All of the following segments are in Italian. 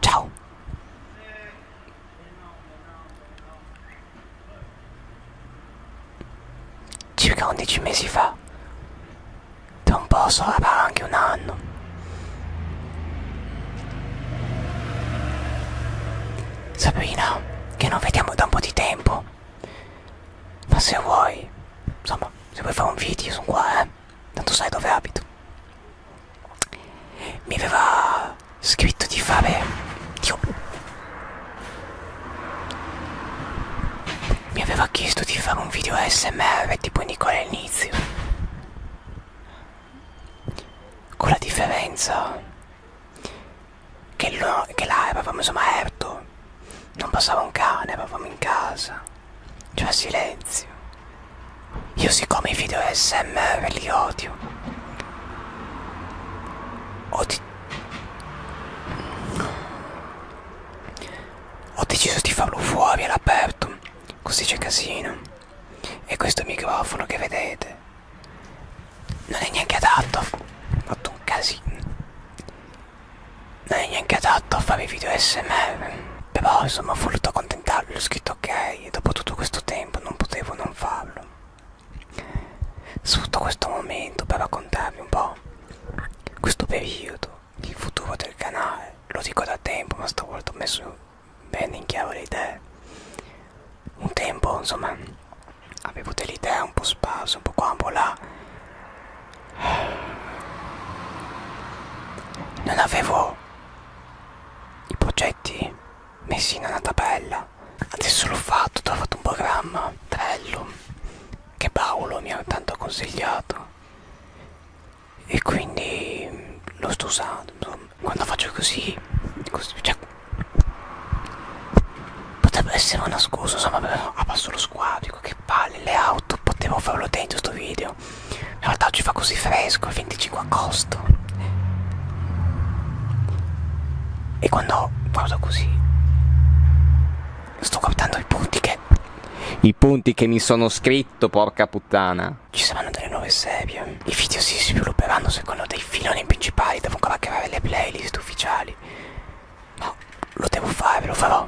Ciao! Circa 11 mesi fa, da un po' sarà anche un anno, Sabrina, che non vediamo da un po' di tempo, ma se vuoi, insomma, se vuoi fare un video sono qua, eh tanto sai dove abito mi aveva scritto di fare Dio. mi aveva chiesto di fare un video smr tipo Nicola all'inizio con la differenza che, lo, che là eravamo insomma erto non passava un cane eravamo in casa cioè silenzio. Io siccome i video SMR li odio. Ho, di... Ho deciso di farlo fuori all'aperto, così c'è casino. E questo microfono che vedete non è neanche adatto. Ho fatto un casino. Non è neanche adatto a fare video SMR. Beh, boh, insomma, ho voluto accontentarlo, ho scritto ok, e dopo tutto questo tempo non potevo non farlo. Sfrutto questo momento per raccontarvi un po' questo periodo, il futuro del canale. Lo dico da tempo, ma stavolta ho messo bene in chiaro le idee. Un tempo, insomma, avevo delle idee un po' sparse, un po' qua, un po' là. Non avevo i progetti messi in una tabella adesso l'ho fatto ho fatto un programma bello che Paolo mi ha tanto consigliato e quindi lo sto usando quando faccio così, così cioè, potrebbe essere una scusa insomma però abbasso ah, lo squadro dico che palle le auto potevo farlo dentro sto video freddo in realtà oggi fa così fresco il 25 agosto e quando guardo così sto guardando i punti che i punti che mi sono scritto porca puttana ci saranno delle nuove serie i video si svilupperanno secondo dei filoni principali devo ancora creare le playlist ufficiali ma no, lo devo fare lo farò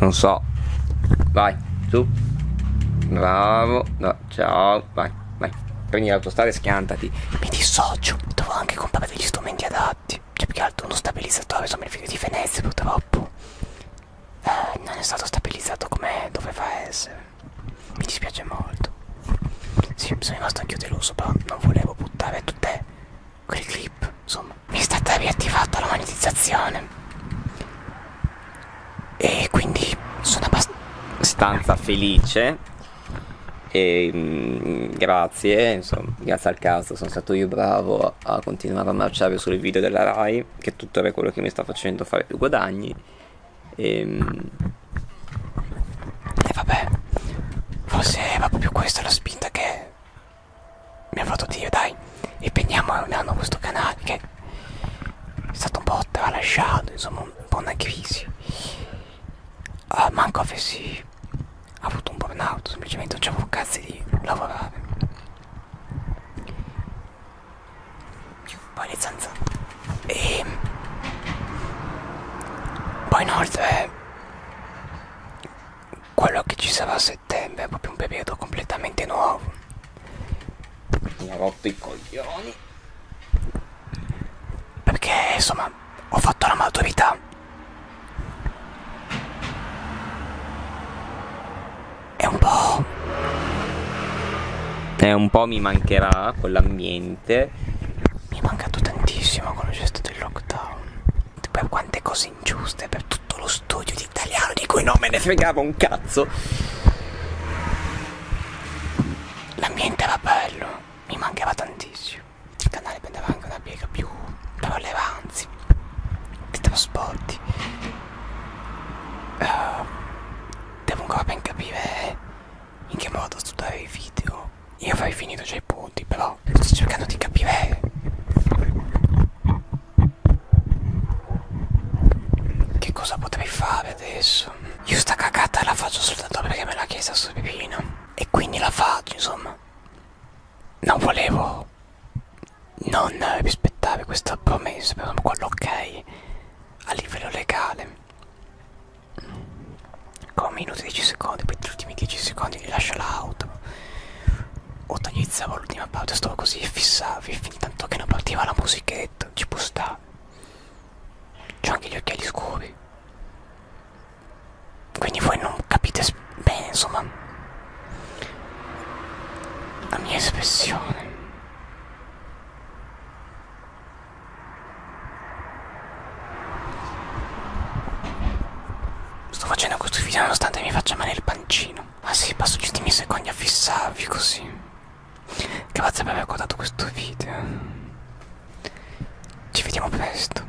non so vai su bravo no, ciao vai vai prendi l'autostrada e schiantati mi dissocio devo anche comprare degli strumenti adatti cioè più che altro uno stabilizzatore sono il figlio di Venezia purtroppo eh, non è stato stabilizzato come doveva essere mi dispiace molto sì sono rimasto anch'io deluso però non volevo buttare tutte quelle clip insomma mi è stata riattivata la monetizzazione e quindi sono abbastanza felice e mh, mm, grazie, insomma, grazie al caso sono stato io bravo a, a continuare a marciare sui video della Rai, che tuttora è quello che mi sta facendo fare più guadagni. E, mh, mm, e vabbè, forse era proprio questa la spinta che mi ha fatto Dio dai e prendiamo un anno questo canale che è stato un po' tralasciato insomma un po' una crisi uh, manco avessi avuto un burnout semplicemente non c'avevo cazzo di lavorare poi le zanzare e poi inoltre quello che ci sarà a settembre è proprio un periodo completamente nuovo mi ha rotto i coglioni perché insomma ho fatto la maturità è un po' è un po' mi mancherà quell'ambiente mi è mancato tantissimo quando c'è stato il lockdown per quante cose ingiuste per tutto lo studio di italiano di cui non me ne fregava un cazzo. L'ambiente era bello, mi mancava tantissimo. Il canale prendeva anche una piega più prelevanzi di trasporti. Uh, devo ancora ben capire in che modo studiare i video io avrei finito già i punti, però sto cercando di capire che cosa potrei fare adesso. Io sta cagata la faccio soltanto perché me l'ha chiesta su Pipino. E quindi la faccio, insomma. Non volevo non rispettare questa promessa, però quello ok a livello legale con minuti 10 secondi poi gli ultimi 10 secondi lascia l'auto o tagliavo l'ultima pauta stavo così e fissavi fin tanto che non partiva la musichetta ci può stare c'ho anche gli occhiali scuri quindi voi non capite bene insomma la mia espressione Sto facendo questo video nonostante mi faccia male il pancino. Ah sì, passo gli ultimi secondi a fissarvi così. Grazie per aver guardato questo video. Ci vediamo presto.